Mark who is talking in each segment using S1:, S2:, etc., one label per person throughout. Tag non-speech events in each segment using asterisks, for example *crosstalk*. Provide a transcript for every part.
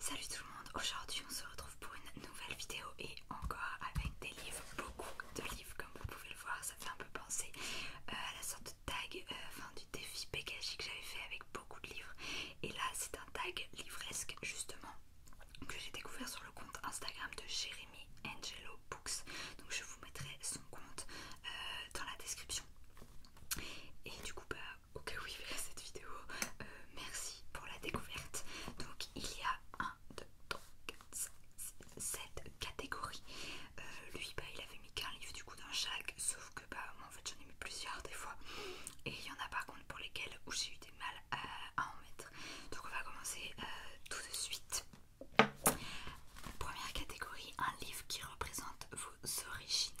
S1: Salut tout le monde, aujourd'hui on se retrouve pour une nouvelle vidéo et encore avec des livres, beaucoup de livres comme vous pouvez le voir, ça fait un peu penser euh, à la sorte de tag, euh, enfin du défi pégagé que j'avais fait avec beaucoup de livres et là c'est un tag livresque justement que j'ai découvert sur le compte Instagram de Jeremy Angelo Books donc je vous mettrai son compte euh, dans la description et du coup bah au cas où il cette vidéo, euh, merci pour la découverte. Donc il y a 1, 2, 3, 4, 7 catégories. Euh, lui, bah, il avait mis qu'un livre du coup dans chaque, sauf que bah, moi en fait j'en ai mis plusieurs des fois. Et il y en a par contre pour lesquels où j'ai eu des mal à, en mettre. Donc on va commencer euh, tout de suite. Première catégorie, un livre qui représente vos origines.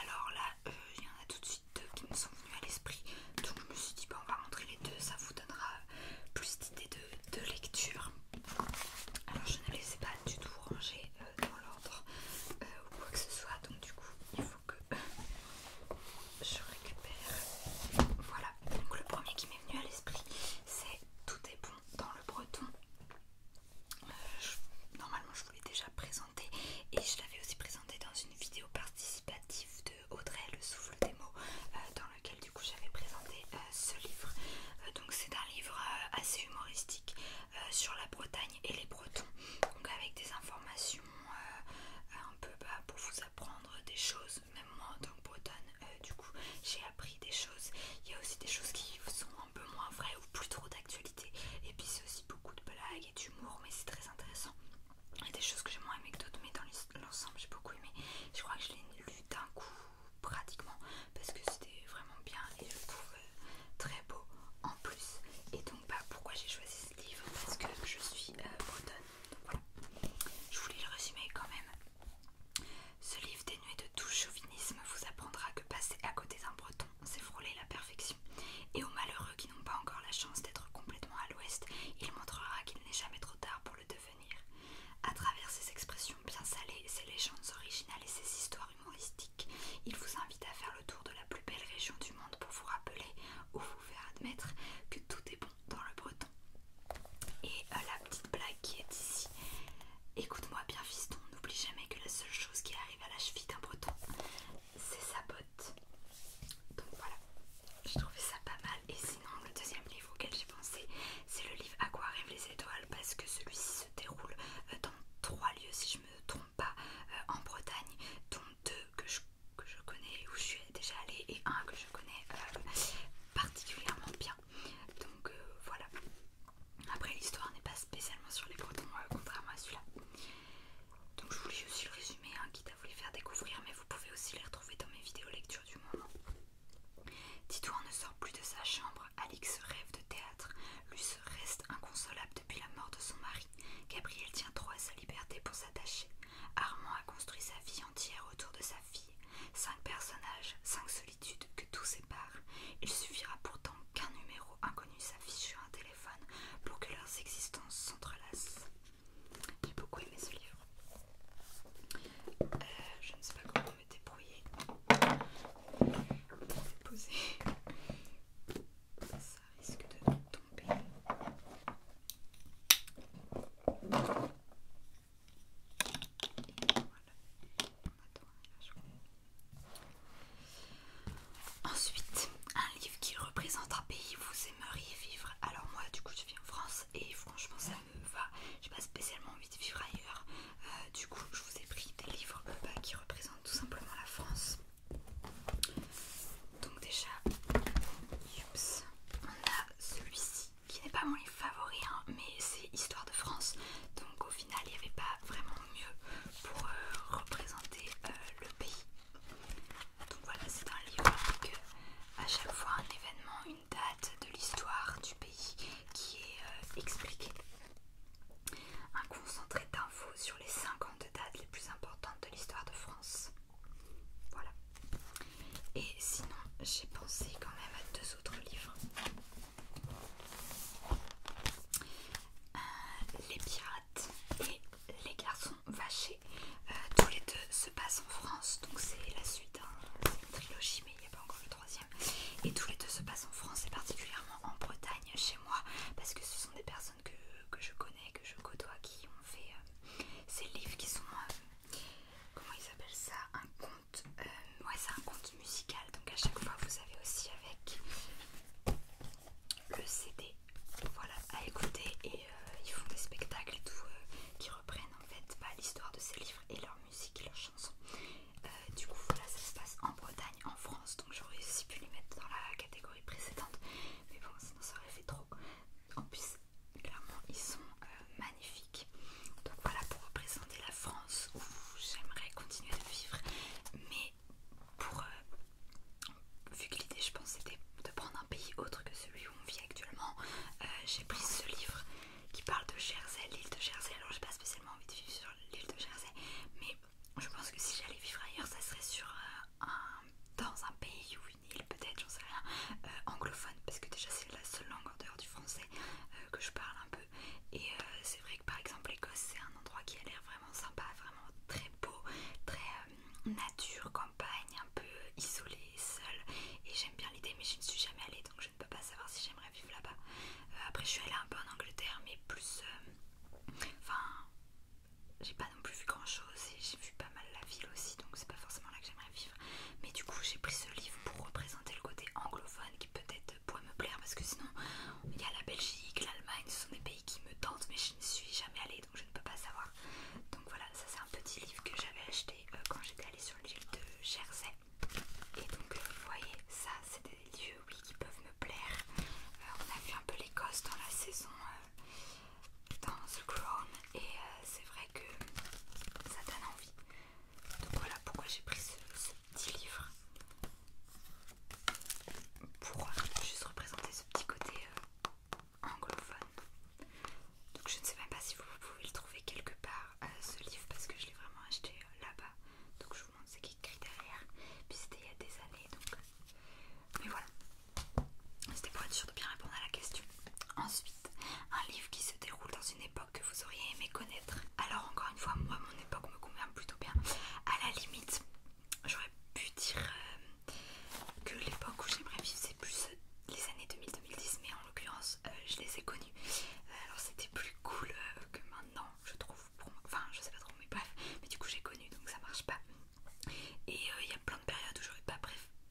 S1: Alors là, euh, il y en a tout de suite deux qui me sont venus à l'esprit. Donc je me suis dit, ben on va montrer les deux, ça vous donnera plus d'idées de, lecture. Alors je ne les ai pas du tout rangées euh, dans l'ordre euh, ou quoi que ce soit. Donc du coup, il faut que je récupère. Voilà. Donc le premier qui m'est venu à l'esprit, c'est Tout est bon dans le breton. je, normalement, déjà présenté et je l'avais aussi présenté dans une vidéo participative de Audrey Le Souffle des mots euh, dans lequel du coup j'avais présenté euh, ce livre. Euh, donc c'est un livre assez humoristique sur la Bretagne et les Bretons, donc avec des informations un peu bas pour vous apprendre des choses, même moi donc bretonne du coup j'ai appris des choses. Il y a aussi des choses qui sont un peu moins vraies ou plus trop d'actualité et puis c'est aussi beaucoup de blagues d'humour, mais c'est très intéressant. Il y a des choses que j'ai moins aimé que d'autres, mais dans l'ensemble, j'ai beaucoup aimé. Je crois que je l'ai lu d'un coup pratiquement parce que c'était vraiment bien et je le trouve euh, très beau en plus. Et donc, bah, pourquoi j'ai choisi ce livre Parce que je suis euh, bretonne. voilà. Je voulais le résumer quand même. Ce livre dénué de tout chauvinisme vous apprendra que passer à côté d'un breton on frôler la perfection. Et aux malheureux qui n'ont pas encore la chance d'être complètement à l'ouest, il montrera qu'il n'est jamais trop tard pour le devenir. À travers ses expressions bien salées, ses légendes originales et ses histoires humoristiques, il vous invite à faire le tour de la plus belle région du monde pour vous rappeler ou vous faire admettre que tout est bon dans le breton. Et euh, la petite blague qui est ici. Écoute-moi bien fiston, n'oublie jamais que la seule chose qui arrive à la cheville d'un breton, c'est sa botte. Donc voilà, j'ai trouvé ça pas mal. Et sinon, le deuxième livre auquel j'ai pensé, c'est le livre À quoi arrivent les étoiles parce que celui-ci se déroule euh, dans trois lieux, si je me trompe pas, euh, en Bretagne, dont deux que je, que je connais, où je suis déjà allée, et un que je connais euh, particulièrement bien. Donc voilà. Après, l'histoire n'est pas spécialement sur les cotons, euh, contrairement à celui-là. Donc je vous lis aussi le résumé, un hein, quitte à vous les faire découvrir, mais vous pouvez aussi les retrouver dans mes vidéos lecture du moment. Titouan ne sort plus de sa chambre, Alix rêve de théâtre, Luce reste inconsolable depuis la mort de son mari, Gabriel tient trop à sa liberté pour s'attacher, Armand a construit sa vie entière autour de sa fille, cinq personnages, cinq solitudes que tout sépare, il suffira pourtant qu'un numéro inconnu s'affiche sur un téléphone pour que leurs existences s'entrelacent. J'ai beaucoup aimé ce livre. Euh, je ne sais pas comment me débrouiller. le déposer. Ça risque de tomber. voilà. On attend un Ensuite, un livre qui représente un pays où vous aimeriez vivre. Alors moi, du coup, je vis en France et franchement, ça me va. J'ai pas spécialement envie de vivre ailleurs. Euh, du coup, je vous ai pris des livres euh, bah, qui représentent tout simplement la France. Donc déjà, on a celui-ci qui n'est pas mon livre favori, hein, mais c'est Histoire de France. Donc au final, il n'y avait pas vraiment mieux pour euh, représenter euh, le pays. Donc voilà, c'est un livre avec euh, à chaque fois un événement, une date de l'histoire du pays qui est expliqué Un concentré d'infos sur les 50 dates les plus importantes de l'histoire de France. Voilà. Et sinon, j'ai pensé quand même à deux autres livres. Euh, les pirates et les garçons vachés. Euh, tous les deux se passent en France, donc c'est la suite d'une trilogie, mais il n'y a pas encore le troisième. Et tous les deux se passent en France et particulièrement en Bretagne chez moi, parce que ce sont des personnes que, je connais, que je côtoie, qui ont fait euh, ces livres qui sont... comment ils appellent ça Un conte Ouais, c'est un conte donc à chaque fois, vous avez aussi avec le CD voilà, à écouter et euh, ils font des spectacles et tout euh, qui reprennent en fait bah, l'histoire de ces livres et leur musique et leurs chansons. Euh, du coup, voilà, ça se passe en Bretagne, en France, donc j'aurais aussi pu les mettre dans la catégorie précédente, mais bon, sinon ça aurait fait trop. En plus, clairement, ils sont magnifiques. Donc voilà, pour représenter la France où j'aimerais continuer de vivre, mais pour euh, vu que l'idée je pense c'était de prendre un pays autre que celui où on vit actuellement euh, j'ai pris ce livre qui parle de Jersey, l'île de Jersey alors j'ai pas spécialement envie de vivre sur l'île de Jersey mais je pense que si j'allais vivre ailleurs ça serait sur euh, un, dans un pays ou une île peut-être j'en sais rien anglophone parce que déjà c'est la seule langue en dehors du français que je parle un peu et c'est vrai par exemple l'Écosse c'est un endroit qui a l'air vraiment sympa, vraiment très beau, très euh, nature, campagne, un peu euh, isolé, seul. Et j'aime bien l'idée mais je ne suis jamais allée donc je ne peux pas savoir si j'aimerais vivre là-bas. Euh, après je suis allée un peu en Angleterre mais plus... Enfin... j'ai pas non plus vu grand chose et j'ai vu pas mal la ville aussi donc c'est pas forcément là que j'aimerais vivre mais du coup j'ai pris ce livre pour représenter le côté anglophone qui peut-être pour me plaire parce que sinon il y a la Belgique, l'Allemagne, ce sont des pays qui me tentent mais je ne suis jamais allée donc je ne peux pas savoir. Donc voilà, ça c'est un petit livre que j'avais acheté euh, quand j'étais allée sur l'île de Jersey. Et donc euh, vous voyez, ça c'est des lieux qui peuvent me plaire. Euh, on a vu un peu l'Écosse dans la saison dans The Crown et c'est vrai que ça donne envie. Donc voilà pourquoi j'ai pris ce, ce petit livres pour euh, juste représenter ce petit côté euh, anglophone. Donc je ne sais même pas si vous pouvez le trouver quelque part euh, ce livre parce que je l'ai vraiment acheté là-bas. Donc je vous montre ce qui est écrit derrière. Puis c'était il y a des années donc. Mais voilà. C'était pour être sûr de bien répondre à la question. Ensuite, un livre qui se déroule dans une époque que vous auriez aimé alors encore une fois, moi mon époque me convient plutôt bien. À la limite, j'aurais pu dire euh, que l'époque où j'aimerais vivre c'est plus les années 2000-2010, mais en l'occurrence euh, je les ai connues. Euh, alors c'était plus cool que maintenant, je trouve. Pour Enfin, je sais pas trop, mais bref. Mais du coup j'ai connu, donc ça marche pas. Et il y a plein de périodes où j'aurais pas,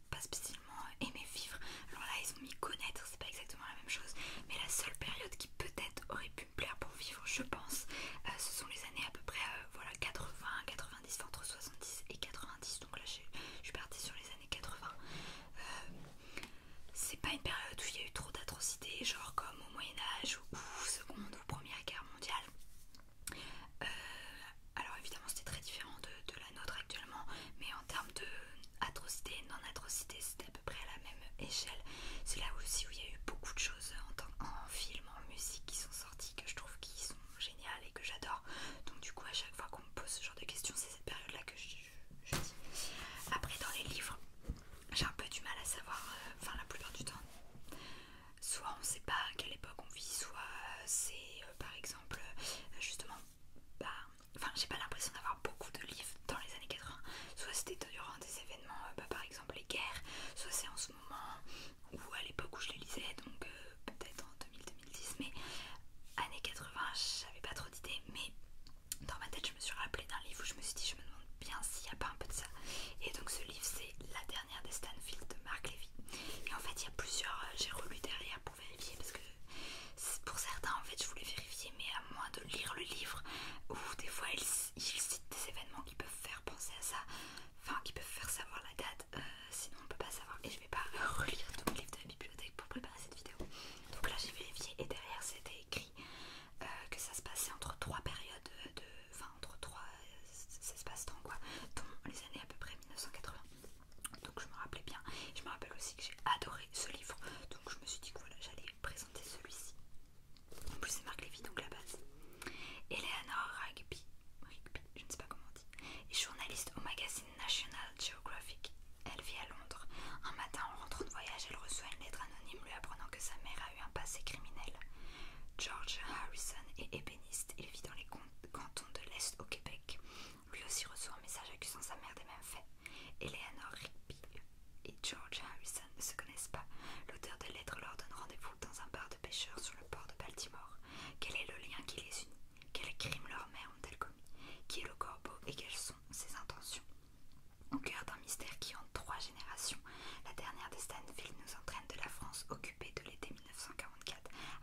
S1: pas spécialement aimé vivre. Alors là ils ont mis connaître, c'est pas exactement la même chose. Mais la seule période qui peut-être aurait pu plaire pour vivre, je pense. Euh, ce sont les années à peu près euh, voilà, 80, 90, entre 70 et 90. Donc là, je suis partie sur les années 80. Euh, c'est pas une période où il y a eu trop d'atrocités, genre comme au Moyen-Âge ou, Seconde ou Première Guerre mondiale. alors évidemment, c'était très différent de, la nôtre actuellement, mais en termes atrocité non c'était à peu près à la même échelle. C'est là aussi où il y a eu beaucoup de choses en, film, en musique qui sont sorties, que je trouve qui sont géniales et que j'adore. Donc du coup, à chaque fois qu'on me pose ce genre de questions, c'est cette période-là que je, dis. Après, dans les livres, j'ai un peu du mal à savoir, euh, enfin la plupart du temps, soit on ne sait pas à quelle époque on vit, soit euh, c'est euh, par exemple justement, bah, enfin j'ai pas l'impression d'avoir beaucoup de livres dans les années 80. Soit c'était durant des événements, euh, bah, par exemple les guerres, soit c'est en ce moment ou à l'époque où je les lisais, donc euh, peut-être en 2000-2010, mais années 80, j'avais pas trop d'idées, mais dans ma tête je me suis rappelé d'un livre où je me suis dit je me demande bien s'il n'y a pas un peu de ça. Et donc ce livre c'est La dernière des Stanfield de Marc Levy. Et en fait il y a plusieurs, euh, j'ai relu derrière pour vérifier parce que pour certains en fait je voulais vérifier mais à moins de lire le livre, où des fois il, cite des événements qui peuvent faire penser à ça, enfin qui peuvent faire savoir la date, euh, sinon on ne peut pas savoir. Et je vais pas *laughs* relire tout le livre de la bibliothèque pour préparer cette vidéo. Donc là j'ai vérifié et derrière c'était écrit euh, que ça se passait entre trois périodes de. Enfin entre trois se passe dans quoi, dans les années à peu près 1980. Donc je me rappelais bien. Je me rappelle aussi que j'ai adoré ce livre. Donc je me suis dit que voilà, j'allais présenter celui-ci. En plus, c'est Marc Lévy, donc la base. Eleanor Rigby, Rigby, je ne sais pas comment on dit, est journaliste au magazine National Geographic. Elle vit à Londres. Un matin, en rentrant de voyage, elle reçoit une lettre anonyme lui apprenant que sa mère a eu un passé criminel. George Harrison est ébéniste. Il vit dans les cantons de l'Est au Québec. Lui aussi reçoit un message accusant sa mère des mêmes faits. Eleanor Rigby et George Harrison ne se connaissent pas. L'auteur de lettres leur donne rendez-vous dans un bar de pêcheurs sur le port de Baltimore. Quel est le lien qui les unit Quels crimes leurs mères ont-elles commis Qui est le corbeau et quelles sont ses intentions Au cœur d'un mystère qui en trois générations, la dernière de Stanfield nous entraîne de la France occupée de l'été 1944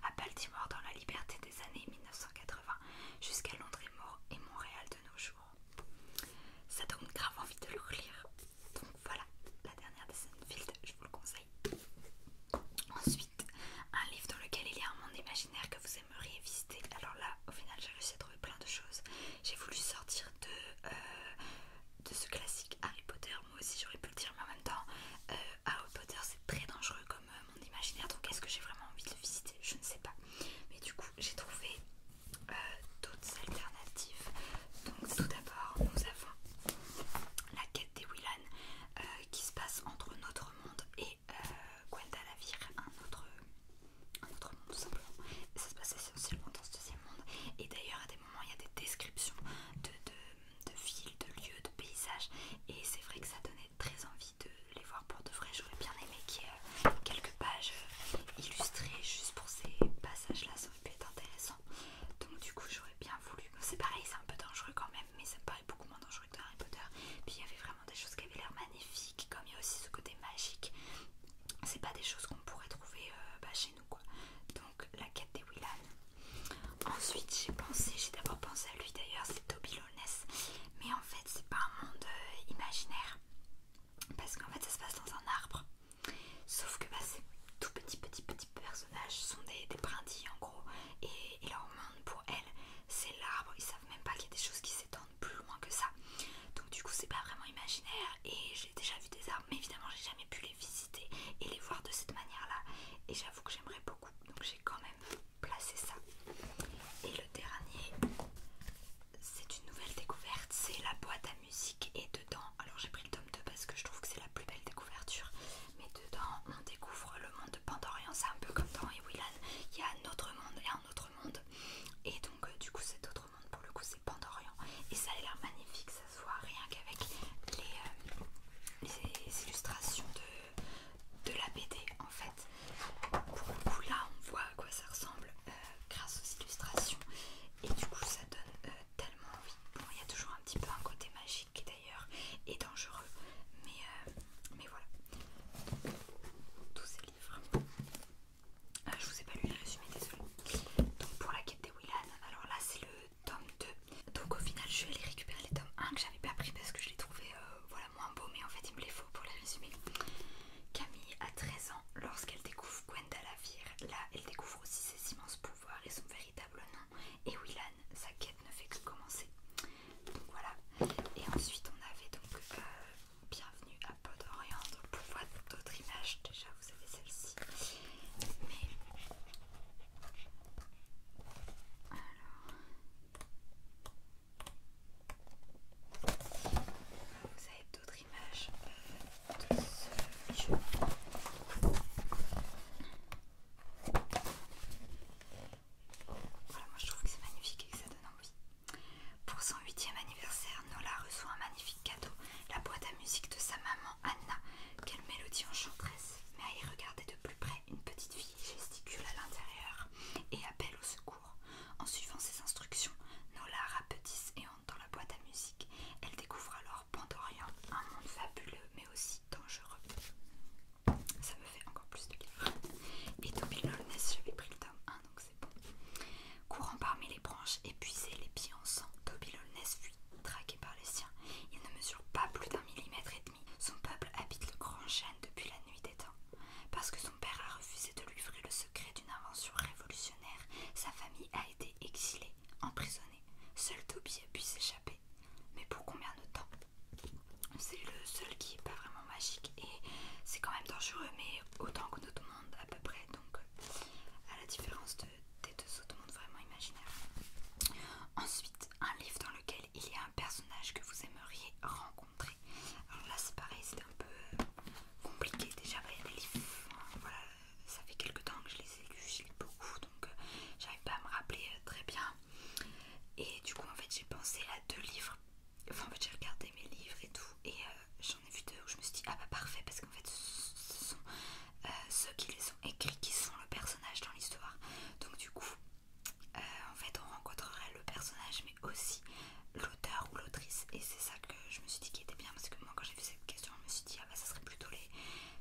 S1: à Baltimore dans la liberté des années 1980 jusqu'à Londres et Montréal de nos jours ça donne grave envie de le relire. Donc voilà, la dernière de Sunfield, je vous le conseille. Ensuite, un livre dans lequel il y a un monde imaginaire que vous aimeriez visiter. Alors là, au final, j'ai réussi à trouver plein de choses. J'ai voulu sortir de, euh, de ce classique Harry Potter. Moi aussi, j'aurais pu le dire, mais en même temps, euh, Harry Potter, c'est très dangereux comme euh, monde imaginaire. Donc, est-ce que j'ai vraiment envie de visiter Je ne sais pas. Mais du coup, j'ai trouvé euh, d'autres alternatives. Donc tout d'abord nous avons la quête des Willan euh, qui se passe entre notre monde et euh, Guendalavir, un autre, un autre monde simplement. ça se passe essentiellement dans ce deuxième monde. Et d'ailleurs à des moments il y a des descriptions de, de villes, de lieux, de paysages. Et c'est vrai que ça donnait très envie de les voir pour de vrai. J'aurais bien aimé qu'il y ait euh, quelques pages euh, illustrées juste pour ces passages-là. Ça aurait pu être intéressant. Donc du coup, j'aurais bien voulu. C'est pareil, c'est un peu dangereux quand même, mais ça me paraît beaucoup moins dangereux que Harry Potter. Puis il y avait vraiment des choses qui avaient l'air magnifiques, comme il y a aussi ce côté magique. C'est pas des choses qu'on pourrait trouver euh, bah, chez nous, quoi. Donc la quête des Willan. Ensuite, j'ai pensé, j'ai d'abord pensé à lui d'ailleurs, c'est Toby Lones, mais en fait, c'est pas un monde imaginaire parce qu'en fait ça se passe dans un arbre sauf que bah, ces tout petits petits petits personnages sont des, des brindilles en gros et, leur monde pour elles c'est l'arbre ils savent même pas qu'il y a des choses qui s'étendent plus loin que ça donc du coup c'est pas vraiment imaginaire et j'ai déjà vu des arbres mais évidemment j'ai jamais pu les visiter et les voir de cette manière là et j'avoue que j'aimerais beaucoup donc j'ai quand même placer ça. Et le dernier, c'est une nouvelle découverte, c'est la boîte à musique et dedans, alors j'ai pris le tome 2 parce que je trouve que c'est la plus belle découverture, mais dedans on découvre le monde de Pandorian, c'est un peu comme dans Ewilan, il y a un autre monde et un autre monde, et donc euh, du coup cet autre monde pour le coup c'est Pandorian, et ça a l'air magnifique, ça se voit rien qu'avec les, euh, illustrations de, de la BD en fait, pour le coup là on voit à quoi ça ressemble euh, grâce aux illustrations et du coup ça donne euh, tellement envie. Bon il y a toujours un petit peu un côté magique d'ailleurs et dangereux mais, euh, mais voilà. tous ces livres. je vous ai pas lu les résumés, désolé. Donc pour la quête des Willan, alors là c'est le tome 2. Donc au final je vais aller récupérer les tomes 1 que j'avais pas pris parce que je l'ai trouvé, voilà moins beau, mais en fait il me les faut pour les résumer. Camille a 13 ans lorsqu'elle découvre Gwendalavir. Là, elle découvre aussi ses immenses pouvoirs et son véritable nom. Et Willan, sa quête ne fait que commencer. Donc voilà. Et ensuite, on avait donc euh, Bienvenue à Podorient. Donc pour voir d'autres images, déjà vous avez celle-ci. Mais. Alors. Vous avez d'autres images de ce voilà, moi je trouve que c'est magnifique et que ça donne envie. Pour son 8 anniversaire, Nola reçoit un magnifique cadeau, la boîte à musique de sa maman Anna. Quelle mélodie enchanteresse! Mais à y regarder de plus près, une petite fille gesticule à l'intérieur et appelle au secours. En suivant ses instructions, Nola rapetisse et entre dans la boîte à musique. Elle découvre alors Pandorian, un monde fabuleux mais aussi dangereux. Ça me fait encore plus de Et Toby j'avais pris le donc c'est bon. Courant parmi les branches, épuisé, les pieds en sang, Toby fuit, traqué par les siens. Il ne mesure pas plus d'un millimètre et demi. Son peuple habite le grand chêne depuis la nuit des temps. Parce que son père a refusé de lui livrer le secret d'une invention révolutionnaire, sa famille a été exilée, emprisonnée. Seul Toby a pu s'échapper. Mais pour combien de temps C'est le seul qui n'est pas vraiment magique et c'est quand même dangereux, mais autant que notre monde à peu près, donc à la différence de, des deux autres mondes vraiment imaginaires. Ensuite, un livre dans lequel il y a un personnage que vous aimeriez rencontrer. Alors là c'est pareil, c'était un peu euh, compliqué déjà, il y a des livres, ça fait quelques temps que je les ai lus, j'ai lis beaucoup donc euh, j'arrive pas à me rappeler euh, très bien. Et du coup en fait j'ai pensé à deux livres, enfin en fait j'ai regardé mes livres et tout et j'en ai vu deux où je me suis dit ah bah parfait parce qu'en fait ce sont ceux qui les ont écrits qui sont le personnage dans l'histoire. Donc du coup euh, en fait on rencontrerait le personnage mais aussi l'auteur ou l'autrice et c'est ça que je me suis dit qui était bien parce que moi quand j'ai vu cette question je me suis dit ah bah ça serait plutôt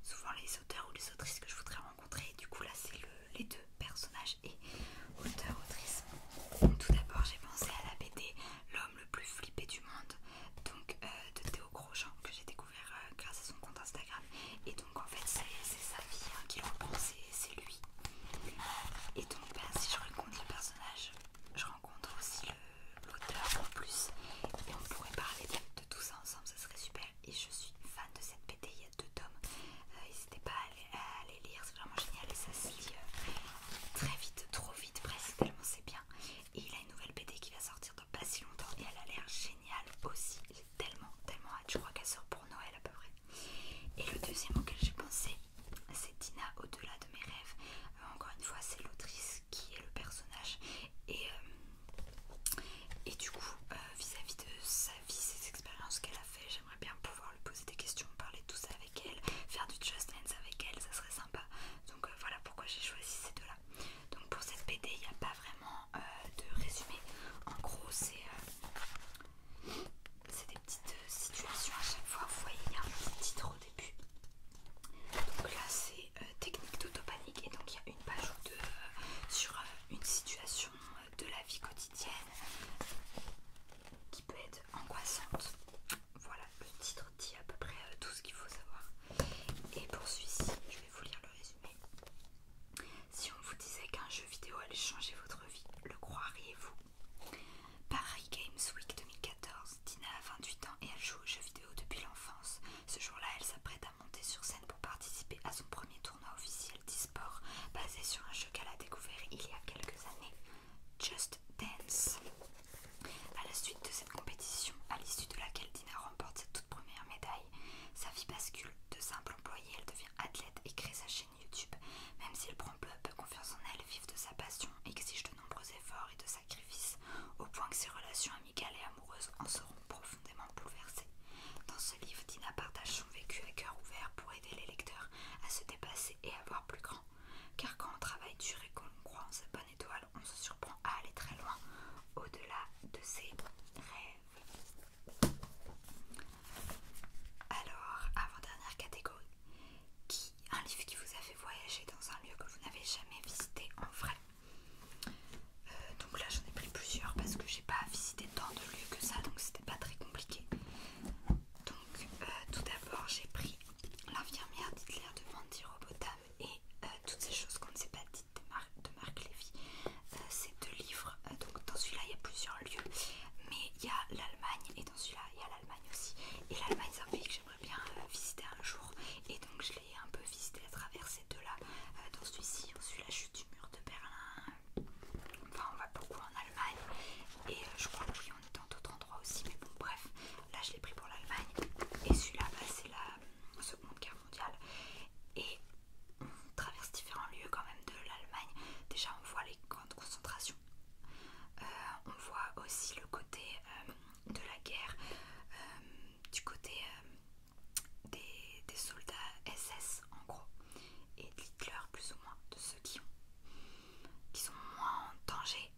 S1: souvent les auteurs ou les autrices que je voudrais rencontrer et du coup là c'est les deux personnages et auteur autrice tout d'abord j'ai pensé à la BD l'homme le plus flippé du monde donc euh, de Théo Grosjean que j'ai découvert euh, grâce à son compte Instagram et donc en fait c'est sa vie hein, qui le reprend c'est lui et donc, bah, si je rencontre le personnage, je rencontre aussi l'auteur en plus. Et on pourrait parler de, tout ça ensemble, ça serait super. Et je suis fan de cette BD, il y a deux tomes. Euh, n'hésitez pas à aller, lire, c'est vraiment génial. Et ça se lit euh, très vite, trop vite presque, tellement c'est bien. Et il a une nouvelle BD qui va sortir dans pas si longtemps et elle a l'air géniale aussi tellement, tellement hâte. Je crois qu'elle sort pour Noël à peu près. Et le deuxième auquel j'ai pensé, c'est Dina au-delà de mes rêves. Euh, encore une fois, c'est l'autrice qui est le personnage. Et, euh, et du coup, euh, vis-à-vis de sa vie, ses expériences qu'elle a fait, j'aimerais bien pouvoir lui poser des questions, parler de tout ça avec elle, faire du Just Dance avec elle, ça serait sympa. Donc voilà pourquoi j'ai choisi ces deux-là. Donc pour cette BD, il n'y a pas vraiment de résumé. En gros, c'est c'est des petites euh, situations à chaque fois. Vous voyez, il y a un petit titre au début. Donc là, c'est euh, technique d'autopanique. Et donc, il y a une page ou deux euh, sur une situation de la vie quotidienne qui peut être angoissante. Voilà, le titre dit à peu près tout ce qu'il faut savoir. Et pour celui-ci, je vais vous lire le résumé. Si on vous disait qu'un jeu vidéo allait changer votre vie, le croiriez-vous Paris Games Week 2014, Dina a 28 ans et elle joue aux jeux vidéo depuis l'enfance. Ce jour-là, elle s'apprête à monter sur scène pour participer à son premier tournoi officiel d'e-sport basé sur un jeu qu'elle a découvert il y a quelques années, Just Dance. À la suite de cette compétition, à l'issue de laquelle Dina remporte sa toute première médaille, sa vie bascule de simple employée, elle devient athlète et crée sa chaîne YouTube, même s'il prend peu peu confiance en elle, vive de sa passion exige de nombreux efforts et de sacrifices, au point que ses relations amicales et amoureuses en seront profondément bouleversées. Dans ce livre, Dina partage son vécu à cœur ouvert pour aider les lecteurs à se dépasser et à voir plus grand. Car quand on travaille dur et qu'on croit en sa bonne étoile, on se surprend à aller très loin, au-delà de ses rêves. Alors, avant-dernière catégorie. Qui, un livre qui vous a fait voyager dans un lieu que vous n'avez jamais visité en vrai. Euh, donc là j'en ai pris plusieurs parce que j'ai pas visité tant de lieux que ça donc c'était pas très compliqué. Donc euh, tout d'abord j'ai pris l'infirmière d'Hitler de Vandy Robotam et euh, toutes ces choses qu'on ne sait pas dites Marc Lévy. Euh, c'est deux livres, euh, donc dans celui-là il y a plusieurs lieux, mais il y a l'Allemagne et dans celui-là il y a l'Allemagne aussi. Et l'Allemagne c'est un pays que j'aimerais bien euh, visiter un jour et donc je l'ai un peu visité à travers ces deux-là. dans celui-ci, celui-là je suis du mur de Berlin, enfin on va beaucoup en Allemagne et je crois que oui on est dans d'autres endroits aussi, mais bon bref, là je l'ai pris pour l'Allemagne et celui-là bah, c'est la Seconde Guerre mondiale. Et on traverse différents lieux quand même de l'Allemagne. Déjà on voit les grandes concentrations. concentration. Euh, on voit aussi le côté euh, de la guerre, euh, du côté des, soldats SS en gros, et de hitler plus ou moins, de ceux qui, ont, qui sont moins en danger,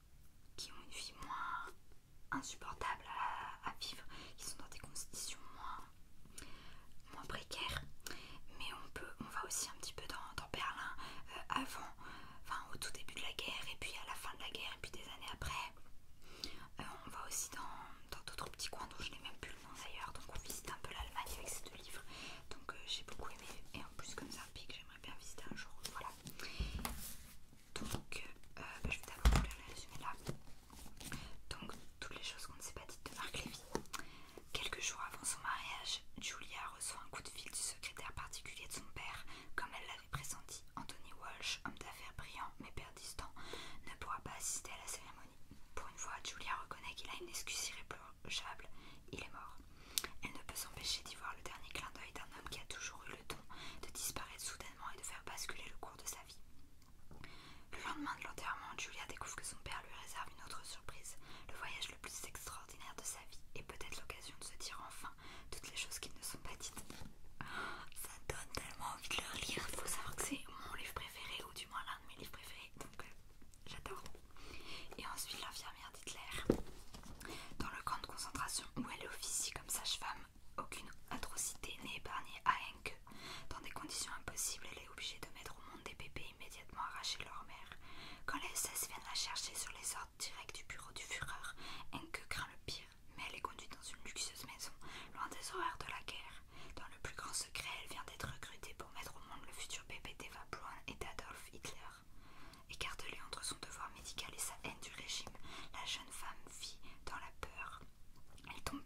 S1: qui ont une vie moins insupportable à vivre, qui sont dans des conditions moins moins précaire, mais on peut, on va aussi un petit peu dans, Berlin euh, avant, enfin au tout début de la guerre et puis à la fin de la guerre et puis des années après. Euh, on va aussi dans d'autres petits coins dont je n'ai même plus le nom d'ailleurs, donc on visite un peu l'Allemagne avec ces deux livres. Donc euh, j'ai beaucoup aimé et en plus comme ça un j'aimerais bien visiter un jour. Voilà. Donc bah, je vais d'abord vous le résumé là. Donc, toutes les choses qu'on ne s'est pas dites de Marc Lévy. Quelques jours avant son mariage, Julia reçoit un coup de fil du secrétaire particulier de son père, comme elle l'avait pressenti. Anthony Walsh, homme d'affaires brillant mais père ne pourra pas assister à la cérémonie. Pour une fois, Julia reconnaît qu'il a une excuse irréprochable. Il est mort. Elle ne peut s'empêcher d'y voir le dernier clin d'œil d'un homme qui a toujours eu le don de disparaître soudainement et de faire basculer le cours de sa vie. Le lendemain de l'enterrement, Julia découvre que son père lui réserve une autre surprise, le voyage le plus extraordinaire de sa vie, et peut-être l'occasion de se dire enfin toutes les choses qui ne sont pas dites. Ça donne tellement envie de le relire. Il faut savoir que c'est mon livre préféré, ou du moins l'un de mes livres préférés, donc euh, j'adore. Et ensuite, l'infirmière d'Hitler, dans le camp de concentration où elle officie comme sage-femme, aucune atrocité n'est épargnée à Henke dans des conditions impossibles, elle est obligée de mettre au monde des bébés immédiatement arrachés de leur mère. Quand les SS viennent la chercher sur les ordres directs du bureau du Führer, Enke craint le pire, mais elle est conduite dans une luxueuse maison, loin des horreurs de la guerre. Dans le plus grand secret, elle vient d'être recrutée pour mettre au monde le futur bébé d'Eva Braun et d'Adolf Hitler. Écartelée entre son devoir médical et sa haine du régime, la jeune femme vit dans la peur elle tombe,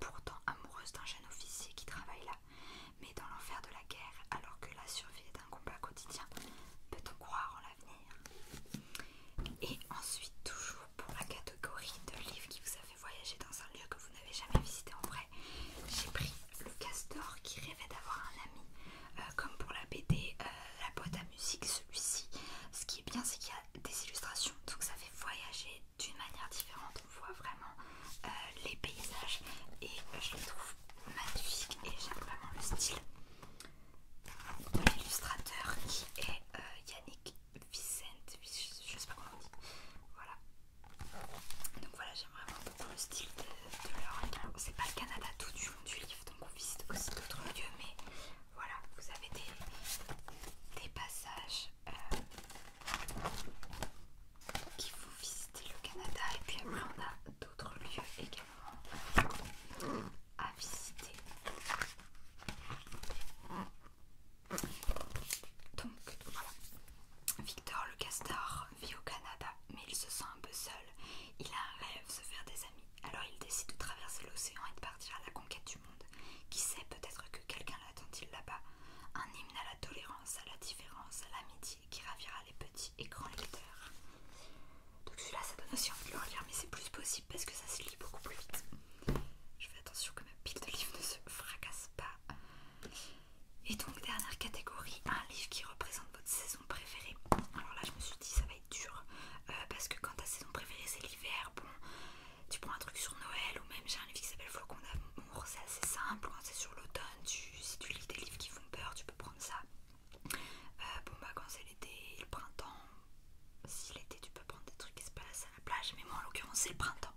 S1: pourtant amoureuse d'un jeune officier qui travaille là, mais dans l'enfer de la guerre, alors que la survie est un combat quotidien, peut-on croire en l'avenir Et ensuite, toujours pour la catégorie de livres qui vous a fait voyager dans un lieu que vous n'avez jamais visité en vrai, j'ai pris le castor qui rêvait d'avoir un ami. Euh, comme pour la BD, euh, la boîte à musique, celui-ci, ce qui est bien, c'est qu'il y a des illustrations, donc ça fait voyager d'une manière différente. On voit vraiment euh, les paysages et je les trouve magnifiques et j'aime vraiment le style. de L'illustrateur qui est euh, Yannick Vicente, je sais pas comment on dit. Voilà. Donc voilà, j'aime vraiment beaucoup le style de, de C'est pas le Canada tout du long du livre, donc on visite aussi d'autres lieux, mais voilà, vous avez des passages qui faut visiter le Canada et puis après on a d'autres lieux également à visiter. Donc voilà, Victor le castor vit au Canada mais il se sent un peu seul. Il a un rêve, se faire des amis. Alors il décide de traverser l'océan et de partir à la conquête du qui sait, peut-être que quelqu'un l'attend-il là-bas. Un hymne à la tolérance, à la différence, à l'amitié qui ravira les petits et grands lecteurs. Donc celui-là, ça donne aussi envie de le relire, mais c'est plus possible parce que ça se lit beaucoup plus vite. Je fais attention que ma pile de livres ne se fracasse pas. Et donc, dernière catégorie, un livre qui représente votre saison préférée. Alors là, je me suis dit, ça va être dur euh, parce que quand ta saison préférée c'est l'hiver, bon, tu prends un truc sur Noël ou même j'ai un livre qui s'appelle Flocon d'amour, c'est assez simple, Quand hein, c'est sur l'automne, si tu lis des livres qui font peur, tu peux prendre ça. Euh, bon bah quand c'est l'été, le printemps, si l'été tu peux prendre des trucs qui se passent à la plage, mais moi en l'occurrence c'est le printemps.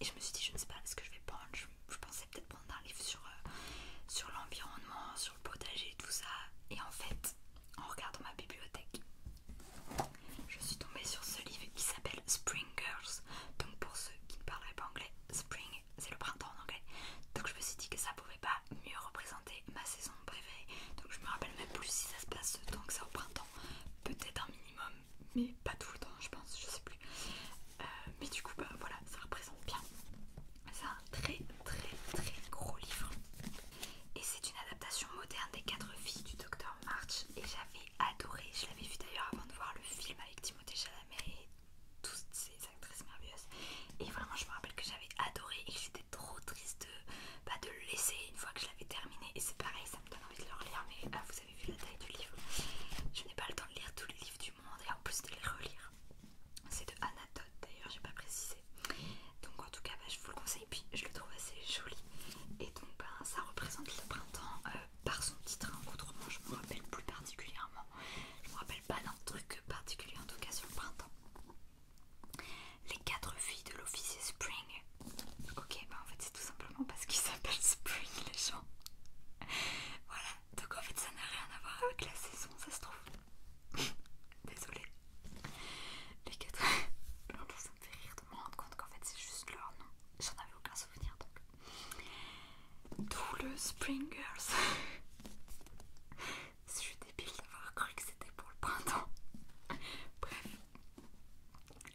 S1: Et je me suis dit je ne sais pas ce que je vais prendre, je, pensais peut-être prendre un livre sur, euh, sur l'environnement, sur le potager, et tout ça. Et en fait, en regardant ma bibliothèque, je suis tombée sur ce livre qui s'appelle Spring Girls. Donc pour ceux qui ne parleraient pas anglais, Spring c'est le printemps en anglais. Donc je me suis dit que ça pouvait pas mieux représenter ma saison préférée. Donc je me rappelle même plus si ça se passe Donc que ça au printemps. Peut-être un minimum, mais pas tout le temps je pense, je sais plus. Euh, mais du coup bah voilà, ça représente bien. C'est un très très très gros livre. Et c'est une adaptation moderne des quatre filles du docteur et j'avais adoré. Je l'avais vu d'ailleurs avant de voir le film avec Timothée Chalamet et toutes ces actrices merveilleuses. Et vraiment, je me rappelle que j'avais adoré et que j'étais trop triste de, bah, de le laisser une fois que je l'avais terminé. Et c'est pareil, ça me donne envie de le relire. Mais ah, vous avez vu la taille du livre. Je n'ai pas le temps de lire tous les livres du monde et en plus de les relire. C'est de Anatote d'ailleurs, j'ai pas précisé. Donc en tout cas, bah, je vous le conseille et puis je le trouve assez joli. Et donc, ben, ça représente le printemps euh, par son titre. Autrement, je me rappelle plus particulièrement. Je me rappelle pas d'un truc particulier, en tout cas sur le printemps. Les quatre filles de l'officier Spring. Ok, ben en fait c'est tout simplement parce qu'ils *laughs* s'appellent Spring les gens. voilà, donc en fait ça n'a rien à voir avec la saison, ça se trouve. *laughs* Désolée. Les quatre... *laughs* me fait rire de me rendre compte qu'en fait c'est juste leur nom. J'en avais aucun souvenir donc. D'où le Girls. Je suis débile d'avoir cru que c'était pour le printemps. *laughs* Bref.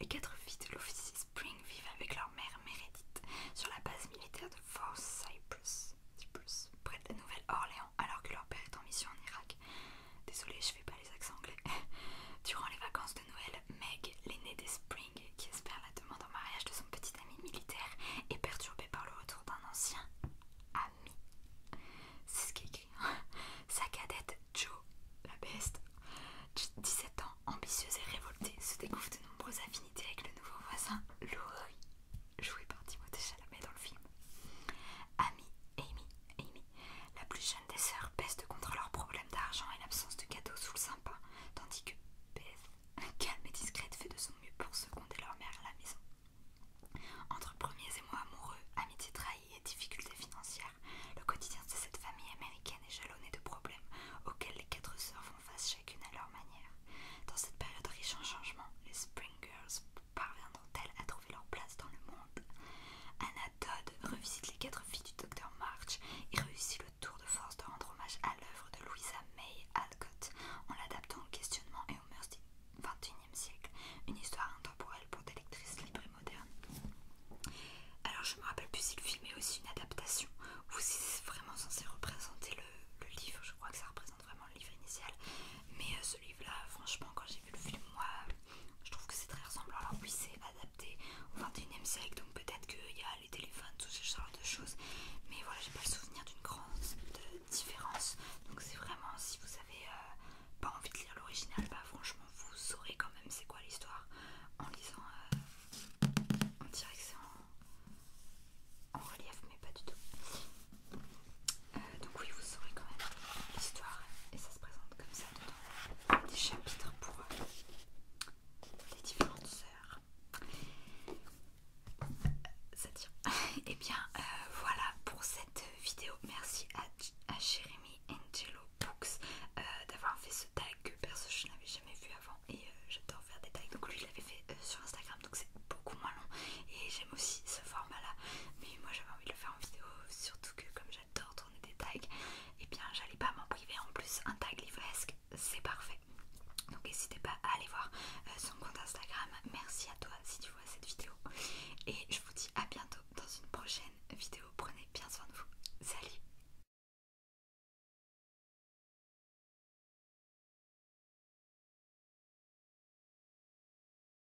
S1: Les quatre filles de l'officier Spring vivent avec leur mère Meredith sur la base militaire de Fort Cypress, Cypress près de la Nouvelle-Orléans alors que leur père est en mission en Irak. Désolée, je fais pas les accents anglais. *laughs* Durant les vacances de Noël, Meg, l'aînée des Spring, qui espère la demande en mariage de son petit ami militaire, est perturbée par le retour d'un ancien ami. C'est ce qui est écrit. Hein. Sa cadette, Joe, la de 17 ans, ambitieuse et révoltée, se découvre de nombreuses affinités avec le nouveau voisin, Louis, joué par Timothée Chalamet dans le film. Ami Amy, Amy, la plus jeune des sœurs, peste contre leurs problèmes d'argent et l'absence de cadeaux sous le sympa, tandis que Beth, calme et discrète, fait de son mieux pour seconder leur mère à la maison. Entre premiers émois amoureux, amitié trahie et difficultés financières, le quotidien de cette famille américaine est jalonné de problèmes auxquels les quatre sœurs font face chacune à leur manière. Dans cette période riche en changements, les Spring Girls parviendront-elles à trouver leur place dans le monde Anna Todd revisite les quatre filles du docteur March et réussit le tour de force de rendre hommage à l'œuvre de Louisa May Alcott en l'adaptant au questionnement et au mœurs du XXIe siècle, une histoire intemporelle pour des lectrices libres et modernes. Alors je me rappelle plus si le film est aussi une adaptation ou si c'est vraiment censé représenter le, livre, je crois que ça représente vraiment le livre initial, mais euh, ce livre-là, franchement, quand j'ai vu le film, moi, je trouve que c'est très ressemblant. Alors oui, c'est adapté au 21 ème siècle, donc peut-être qu'il y a les téléphones, tout ce genre de choses. Mais voilà, j'ai pas le souvenir d'une grande différence. Donc c'est vraiment, si vous avez euh, pas envie de lire l'original, bah franchement, vous saurez quand même c'est quoi l'histoire en lisant. Euh, en on dirait que c'est en relief, mais pas du tout. Euh, donc oui, vous saurez quand même l'histoire et ça se présente comme ça dedans. Des chapitres pour euh, les différentes sœurs. ça tient *laughs* et eh bien euh, voilà pour cette vidéo. Merci à, à Jérémy Angelo Books d'avoir fait ce tag. que Perso, je n'avais jamais vu avant et j'adore faire des tags. Donc lui, il l'avait fait sur Instagram, donc c'est beaucoup moins long. Et aussi ce format là mais moi j'avais envie de le faire en vidéo surtout que comme j'adore tourner des tags et eh bien j'allais pas m'en priver en plus un tag livresque c'est parfait donc n'hésitez pas à aller voir euh, son compte Instagram merci à toi si tu vois cette vidéo et je vous dis à bientôt dans une prochaine vidéo prenez bien soin de vous salut